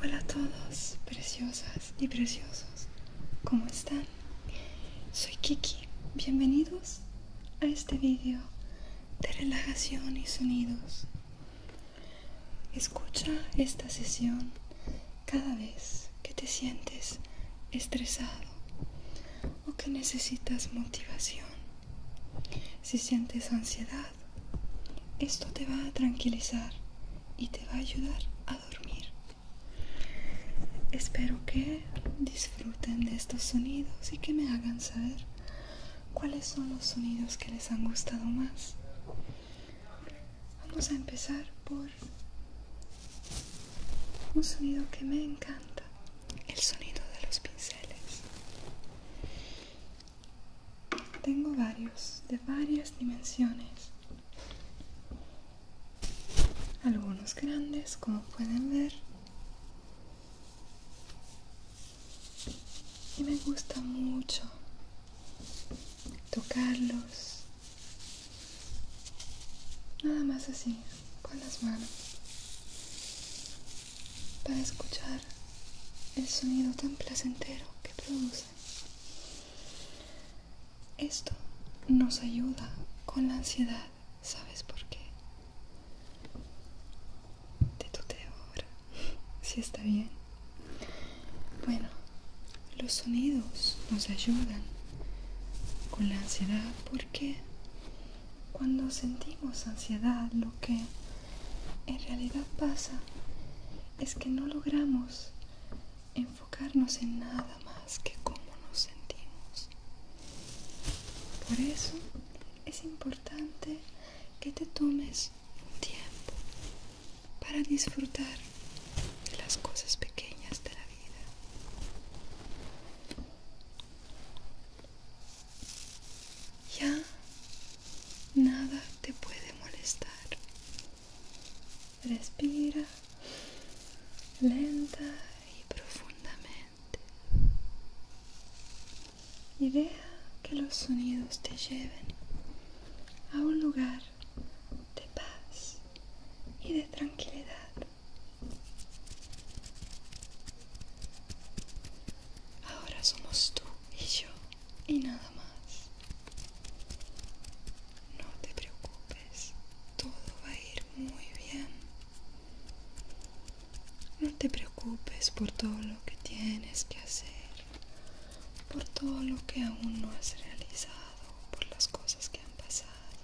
Hola a todos, preciosas y preciosos. ¿Cómo están? Soy Kiki. Bienvenidos a este video de relajación y sonidos. Escucha esta sesión cada vez que te sientes estresado o que necesitas motivación. Si sientes ansiedad, esto te va a tranquilizar y te va a ayudar a dormir. Espero que disfruten de estos sonidos y que me hagan saber cuáles son los sonidos que les han gustado más. Vamos a empezar por un sonido que me encanta, el sonido de los pinceles. Tengo varios de varias dimensiones. Algunos grandes, como pueden ver. Y me gusta mucho tocarlos. Nada más así, con las manos para escuchar el sonido tan placentero que produce. Esto nos ayuda con la ansiedad, ¿sabes por qué? Te tuteo ahora, si está bien. Bueno, los sonidos nos ayudan con la ansiedad porque cuando sentimos ansiedad, lo que en realidad pasa es que no logramos enfocarnos en nada más que cómo nos sentimos. Por eso es importante que te tomes un tiempo para disfrutar de las cosas pequeñas de la vida. Ya nada te puede molestar. Respira lenta y profundamente. Y deja que los sonidos te lleven a un lugar de paz y de tranquilidad. Ahora somos tú y yo y nada más. No te preocupes, todo va a ir muy bien. No te preocupes por todo lo que tienes que hacer, por todo lo que aún no has realizado, por las cosas que han pasado.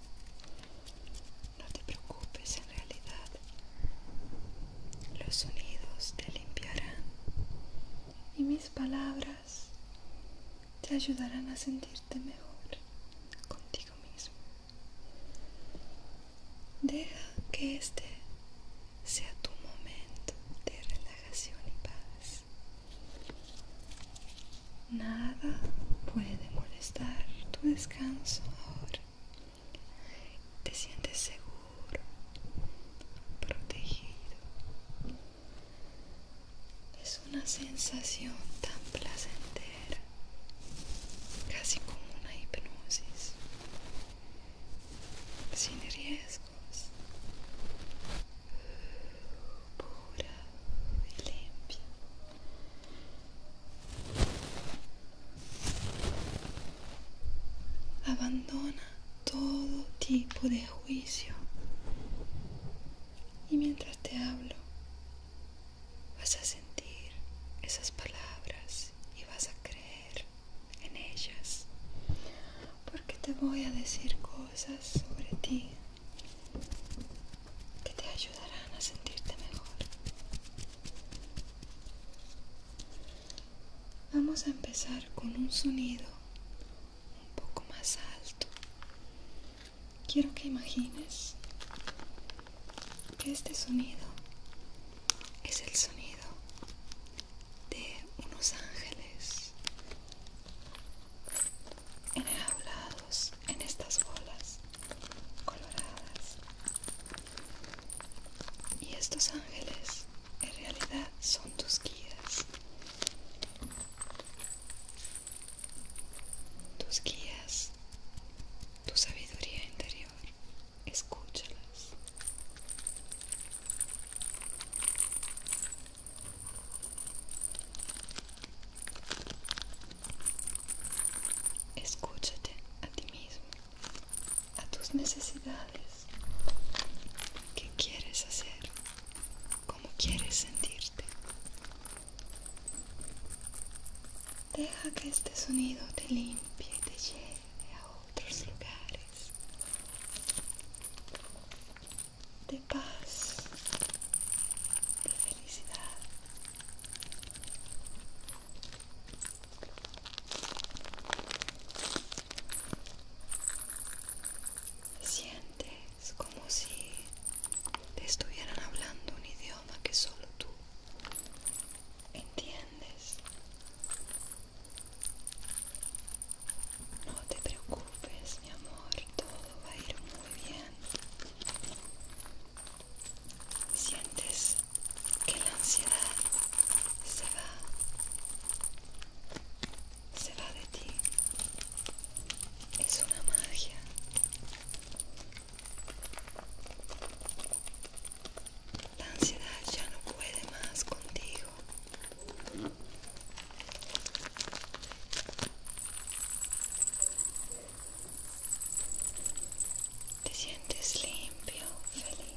No te preocupes, realidad los sonidos te limpiarán y mis palabras te ayudarán a sentirte mejor contigo mismo. Deja que este sea tu momento de relajación y paz. Nada puede molestar tu descanso ahora. Te sientes seguro, protegido. Es una sensación tan placentera, casi como una hipnosis, sin riesgos, pura y limpia. Abandona todo tipo de juicio. Y mientras te hablo, vas a sentir esas palabras y vas a creer en ellas. Porque te voy a decir cosas sobre ti que te ayudarán a sentirte mejor. Vamos a empezar con un sonido un poco más alto. Quiero que imagines que este sonido es el sonido de unos ángeles enjaulados en estas bolas coloradas y estos ángeles en realidad son tus guías. Tus guías, tu sabiduría interior, escúchalas. Escúchate a ti mismo a tus necesidades. ¿Qué quieres hacer? como quieres sentirte? Deja que este sonido te limpie y te lleve a otros lugares de paz, de felicidad. Sientes como si te estuvieran hablando un idioma que solo tú entiendes. No te preocupes, mi amor, todo va a ir muy bien. Sientes que la ansiedad se va, se va de ti. Es una magia. La ansiedad ya no puede más contigo. Te sientes limpio, feliz.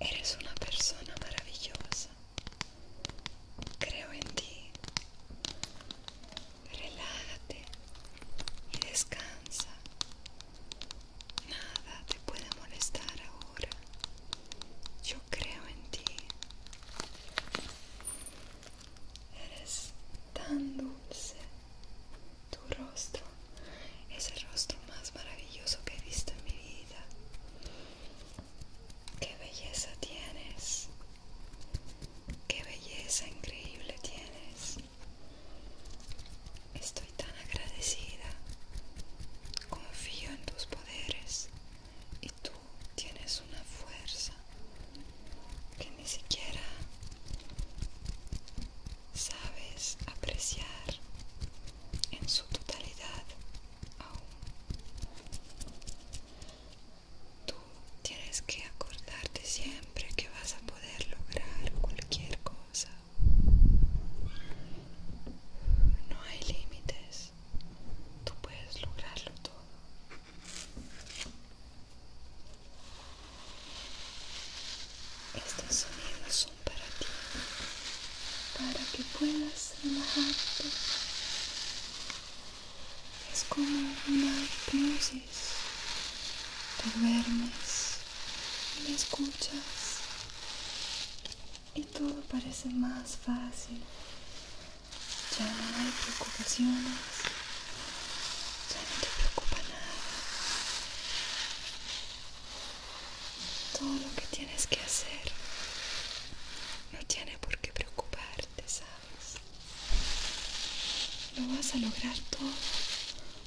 Eres una persona maravillosa. Creo en ti. Relájate y descansa. Nada te puede molestar ahora. Yo creo en ti. Eres tan dulce. Tu rostro es el rostro más maravilloso que he visto en mi vida. Qué belleza tienes. Qué belleza increíble tienes. Estoy tan agradecida. Confío en tus poderes y tú tienes una fuerza que ni siquiera sabes apreciar en su totalidad aún. Tú tienes que acordarte siempre que vas a poder lograr cualquier cosa. No hay límites. Tú puedes lograrlo todo. Estos sonidos son para ti, para que puedas relajarte. Es como una hipnosis. Te duermes y me escuchas y todo parece más fácil. Ya no hay preocupaciones. Ya no te preocupa nada todo lo que tienes que hacer no tiene por qué preocuparte, ¿sabes? Lo vas a lograr todo,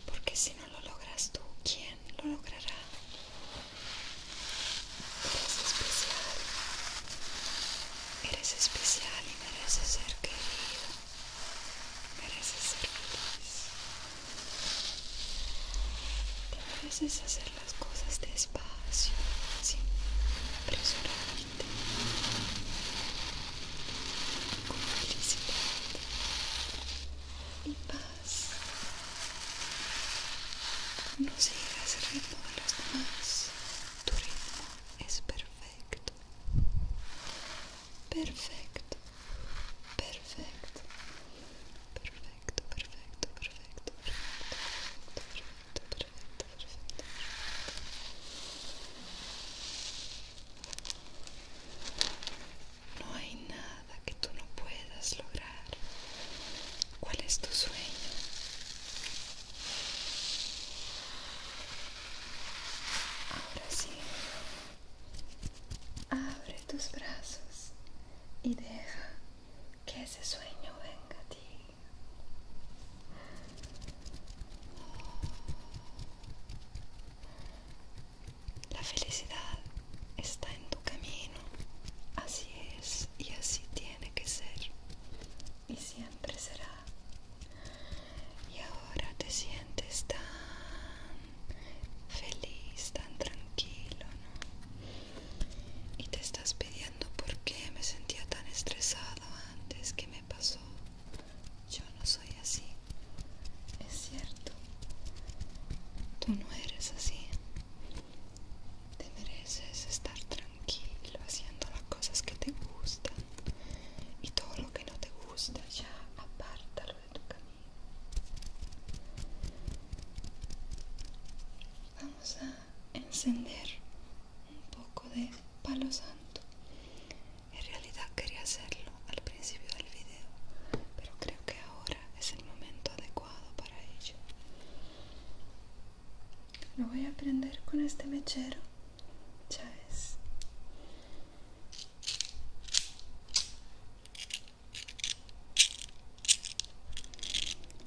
porque si no lo logras tú, ¿quién lo logrará? Eres especial, eres especial y mereces ser querido, mereces ser feliz. Te veces hacer las cosas despacio, así, apresurarte, con felicidad y paz. No sigas el ritmo de los demás, tu ritmo es perfecto. Perfecto. Perfecto. Perfecto, perfecto, perfecto, perfecto, perfecto, perfecto, perfecto, No hay nada que tú no puedas lograr. ¿Cuál es tu sueño? Ahora sí, Abre tus brazos y deja que ese sueño venga a ti. La felicidad está en tu camino, así es y así tiene que ser y siempre será. Y ahora te sientes tan feliz, tan tranquilo, ¿no? Y te estás pidiendo por qué me sentía tan estresado antes, ¿qué me pasó? Yo no soy así, es cierto, tú no eres así, te mereces estar tranquilo haciendo las cosas que te gustan y todo lo que no te gusta ya apártalo de tu camino. Vamos a encender un poco de palo santo. En realidad quería hacerlo al principio del video, pero creo que ahora es el momento adecuado para ello. Lo voy a prender con este mechero, ya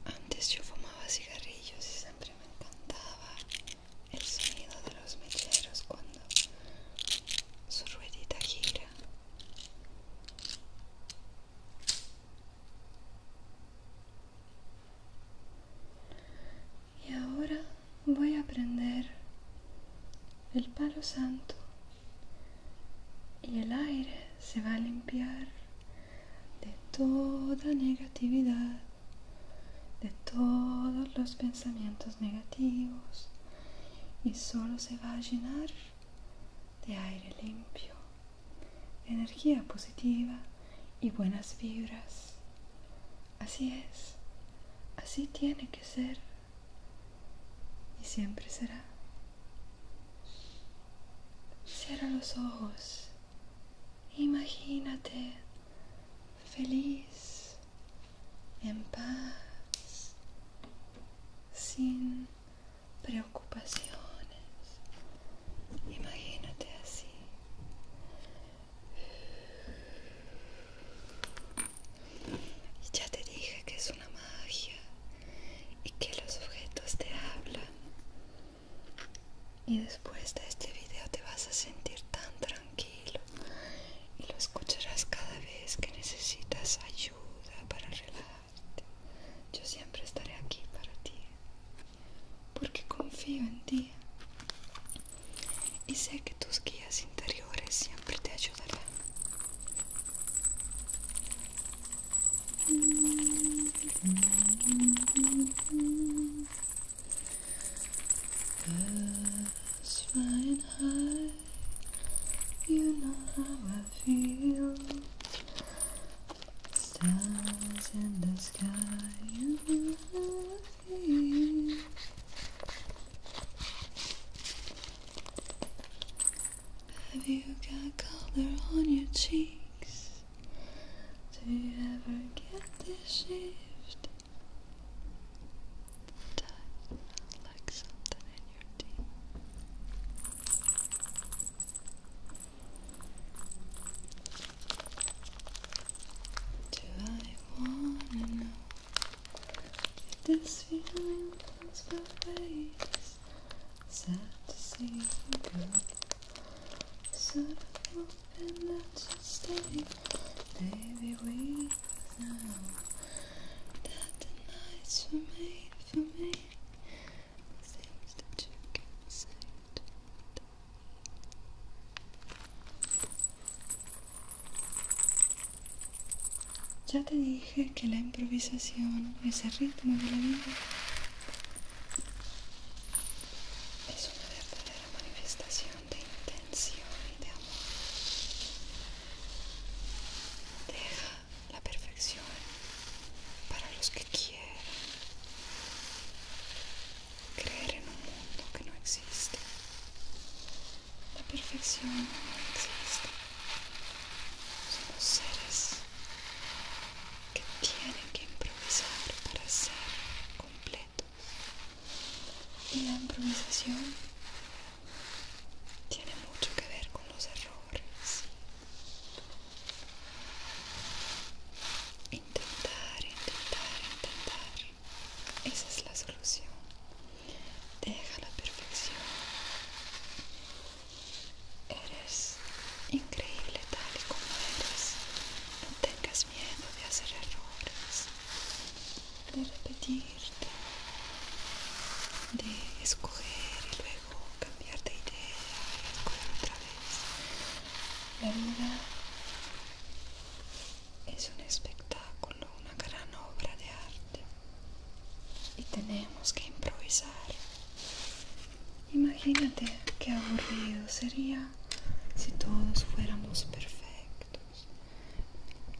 antes yo fumaba cigarrillos y siempre me encantaba el sonido de los mecheros cuando su ruedita gira. Y ahora voy a aprender el palo santo y el aire se va a limpiar de toda negatividad, de todos los pensamientos negativos y solo se va a llenar de aire limpio, energía positiva y buenas vibras. Así es, así tiene que ser y siempre será. Cierra los ojos. Imagínate feliz, en paz, sin preocupaciones. Imagínate así ya te dije que es una magia y que los objetos te hablan. Y después de este video te vas a sentir tan tranquilo y lo escucharás cada vez que necesitas ayuda para relajarte. Yo siempre estaré aquí para ti porque confío en ti y sé que tus guías interiores siempre te ayudan şuraları. Birds flying high, you know how I feel. Stars in the sky, you know how I feel. Have you got color on your cheeks? Do you ever get this shift? Time like something in your teeth. Do I wanna know? This feeling runs both ways. Sad to see you go. Sort of hoping that you stay. Maybe we know that the nights were made for me. Seems that you can say Ya te dije que la improvisación, ese ritmo de la vida, es una verdadera manifestación de intención y de amor. Deja la perfección para los que quieren Creer en un mundo que no existe la perfección no existe. Somos seres que tienen que improvisar para ser completos. Y la improvisación tiene mucho que ver con los errores. Intentar, intentar, intentar. Esa es la solución deja la perfección. Eres increíble tal y como eres. No tengas miedo de hacer errores, de repetirte, de escoger y luego cambiar de idea y escoger otra vez. La vida es un espectáculo, una gran obra de arte y tenemos que improvisar. Imagínate qué aburrido sería si todos fuéramos perfectos.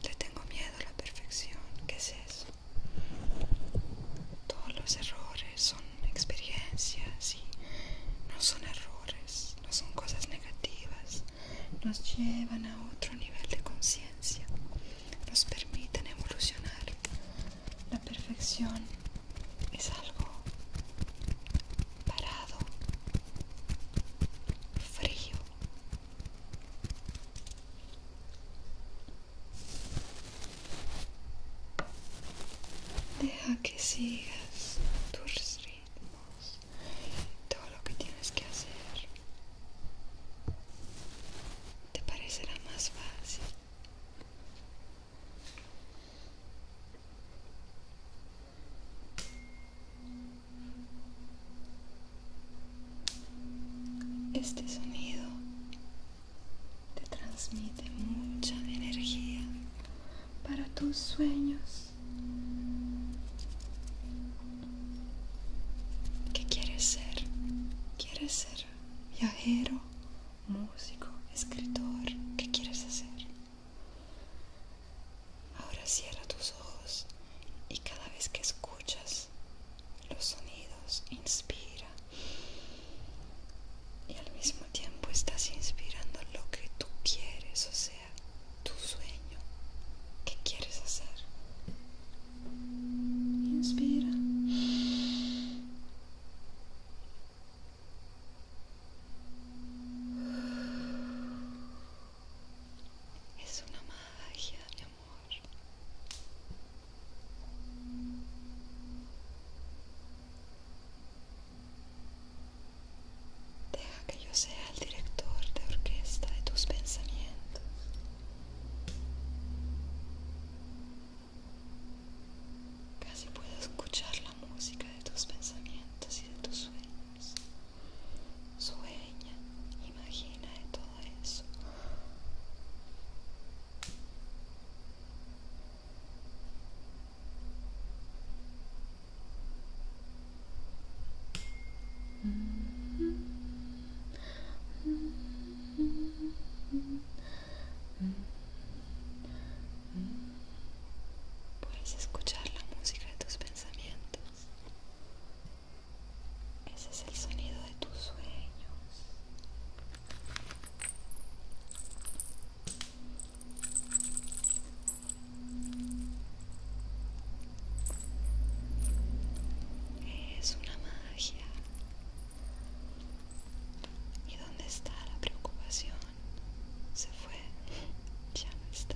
Le tengo miedo a la perfección. ¿Qué es eso? Todos los errores son experiencias y no son errores, no son cosas negativas. Nos llevan a otro nivel de conciencia nos permiten evolucionar. La perfección es algo parado, frío. Deja que sigas tus ritmos, todo lo que tienes que hacer te parecerá más fácil. Este sonido te transmite mucha energía para tus sueños ¿Qué quieres ser? ¿Quieres ser viajero, músico, escritor? ¿Qué quieres hacer? Ahora cierra tus ojos y cada vez que escuchas los sonidos, inspira. Y al mismo tiempo estás inspirando lo que tú quieres, o sea, tu sueño. ¿Qué quieres hacer? Inspira. Es una magia, mi amor. Deja que yo sea el director de orquesta de tus pensamientos. Casi puedo escuchar la música de tus pensamientos y de tus sueños. Sueña, imagina todo eso. Mm-hmm. Mm-hmm. Puedes escuchar la música de tus pensamientos. Ese es el sonido de tus sueños. Es una ¿Y dónde está la preocupación? Se fue, ya no está.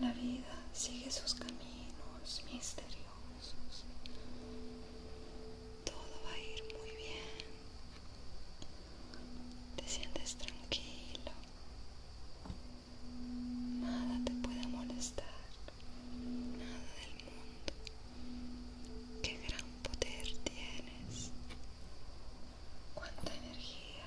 La vida sigue sus caminos misteriosos. Todo va a ir muy bien. Te sientes tranquilo. Nada te puede molestar. Nada del mundo. Qué gran poder tienes. Cuánta energía.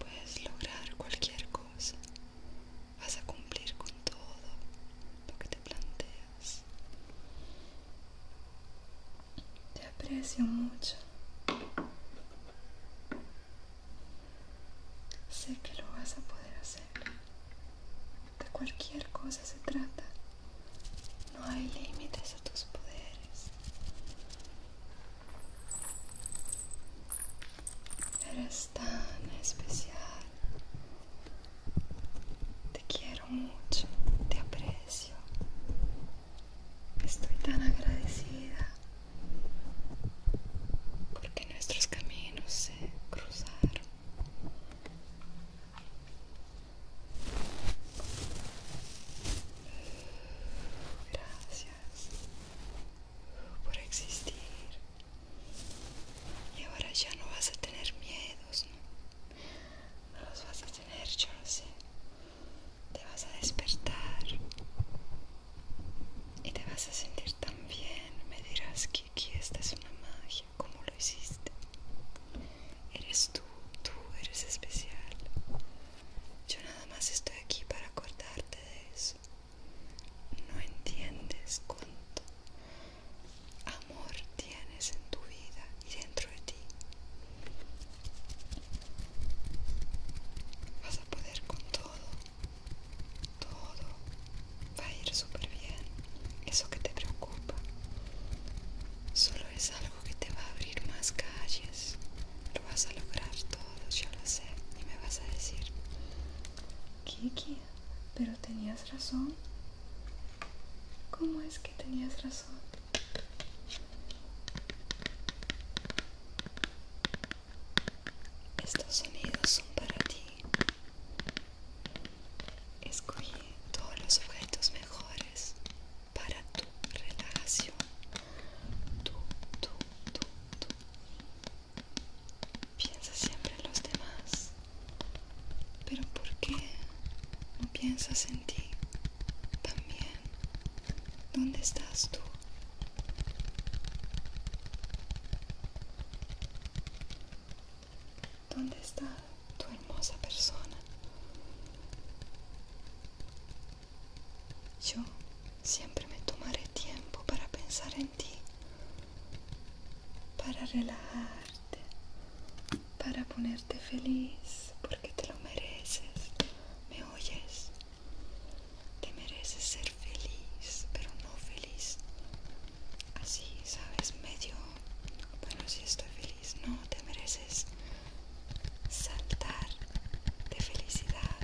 Puedes lograr cualquier cosa. Vas a cumplir con todo te planteas. Te aprecio mucho. Sé que lo vas a poder hacer. De cualquier cosa se trata. No hay límites a tus poderes. Eres tan especial te quiero mucho, te aprecio. Estoy tan agradecida porque nuestros caminos se cruzaron. Gracias por existir. Y ahora ya no vas a tener miedos, ¿no? no los vas a tener, yo sé. Te vas a despertar y te vas a sentir tan bien. Me dirás que aquí esta es una magia, como lo hiciste. Eres tú, tú eres especial. Yo nada más estoy aquí para acordarte de eso. No entiendes cuánto amor tienes en tu vida y dentro de ti. Vas a poder con todo, todo va a ir súper bien. Eso que te preocupa solo es algo que te va a abrir más calles. Lo vas a lograr todo, yo lo sé. Y me vas a decir, Kiki, pero tenías razón. ¿Cómo es que tenías razón? Estos sonidos son para ti. Escogí todos los objetos mejores para tu relación. Tú, tú, tú, Piensa siempre en los demás. Pero ¿por qué no piensas en ti también? ¿Dónde estás tú? ¿Dónde está tu hermosa persona? Yo siempre me tomaré tiempo para pensar en ti, para relajarte, para ponerte feliz porque te lo mereces. ¿Me oyes? Te mereces ser feliz, pero no feliz. Así, sabes, medio... Bueno, si estoy feliz, no, te mereces saltar de felicidad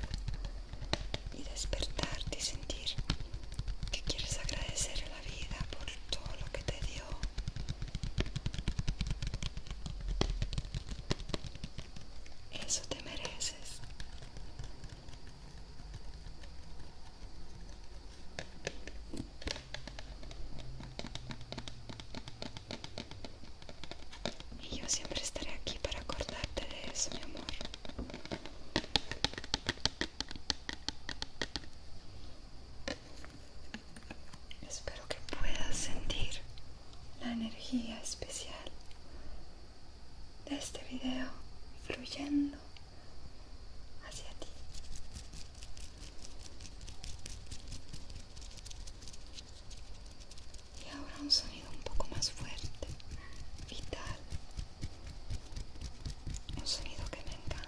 y despertarte y sentir que quieres agradecer a la vida por todo lo que te dio eso te mereces. Y yo siempre estaré aquí para acordarte de eso, mi amor. Espero que puedas sentir la energía especial de este video fluyendo hacia ti. Y ahora un sonido un poco más fuerte, vital. Un sonido que me encanta.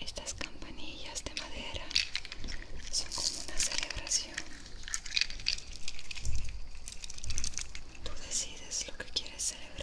Estas campanillas de madera son como una celebración. Tú decides lo que quieres celebrar.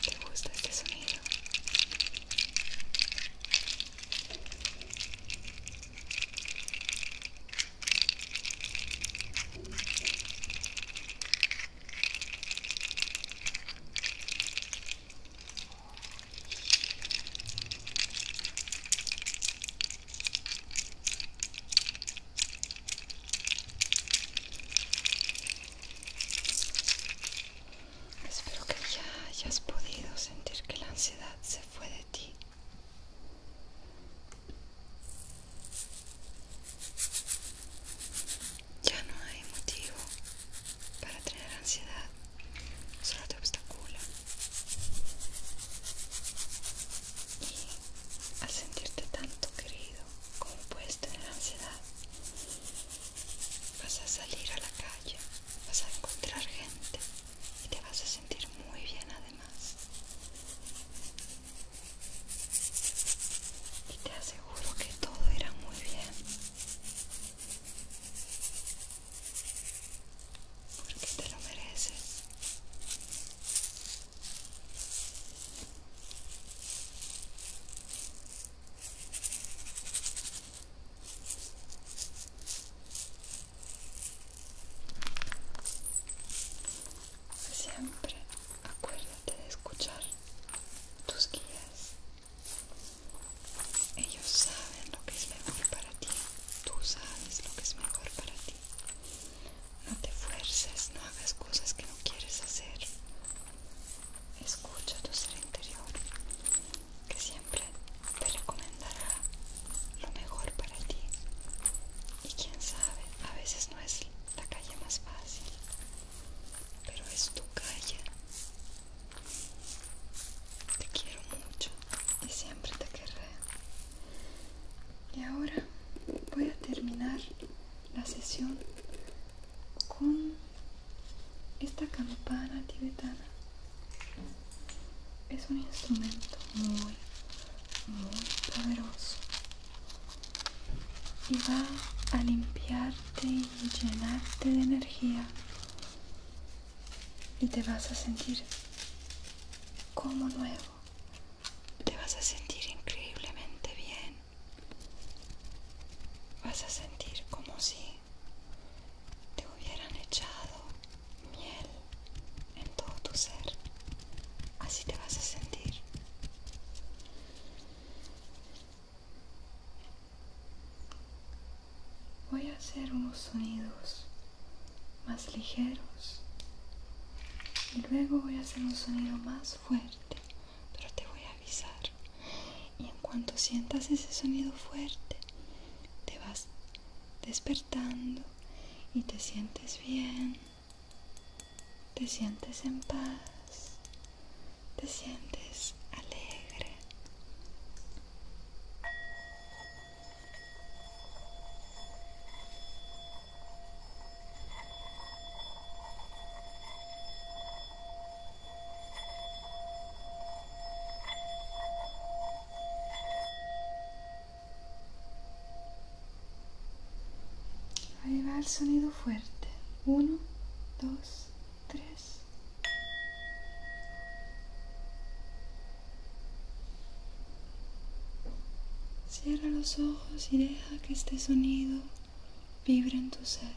¿Te gusta este sonido? Espero que ya hayas podido sentir que la ansiedad se fue de ti. Ya no hay motivo para tener ansiedad, solo te obstacula. Y al sentirte tanto querido, Compuesto en la ansiedad, vas a salir a la calle, vas a encontrar gente y te vas a sentir muy bien además. Y te aseguro que todo irá muy bien. Porque te lo mereces. Siempre acuérdate de escuchar tus guías. Ellos saben lo que es mejor para ti. Tú sabes lo que es mejor para ti. No te fuerces, no hagas cosas que no quieres hacer escucha tu ser interior que siempre te recomendará lo mejor para ti y quién sabe a veces no es la calle más fácil pero es tu calle te quiero mucho y siempre te querré y ahora voy a terminar la sesión con esta campana tibetana es un instrumento muy muy poderoso y va a limpiarte y llenarte de energía y te vas a sentir como nuevo te vas a sentir increíblemente bien vas a sentir como si te hubieran echado miel en todo tu ser. Así te vas a sentir. Voy a hacer unos sonidos más ligeros y luego voy a hacer un sonido más fuerte, pero te voy a avisar y en cuanto sientas ese sonido fuerte te vas despertando y te sientes bien te sientes en paz te sientes alegre Ahí va el sonido fuerte. Uno, dos, tres. Cierra los ojos y deja que este sonido vibra en tu ser.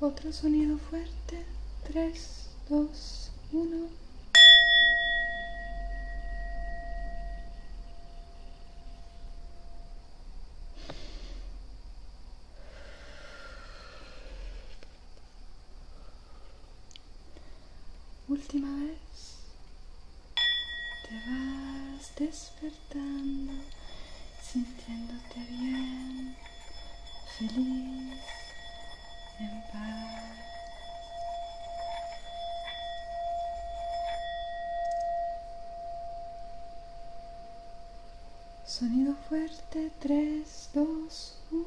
Otro sonido fuerte. 3, 2, 1. Última vez. Te vas despertando, sintiéndote bien, feliz, en paz. Sonido fuerte, 3, 2, 1.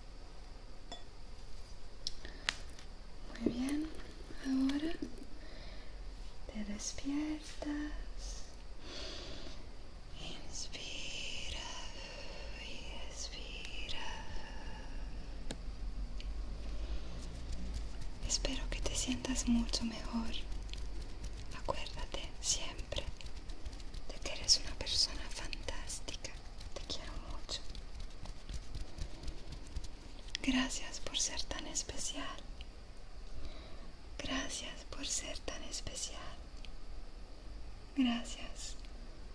Muy bien, ahora te despiertas. Inspira y expira. Espero que te sientas mucho mejor. Acuérdate siempre de que eres una persona fantástica te quiero mucho. Gracias por ser tan especial. Gracias por ser tan especial. Gracias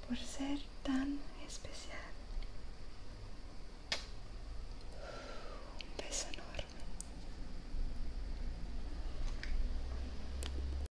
por ser tan especial. Un beso enorme.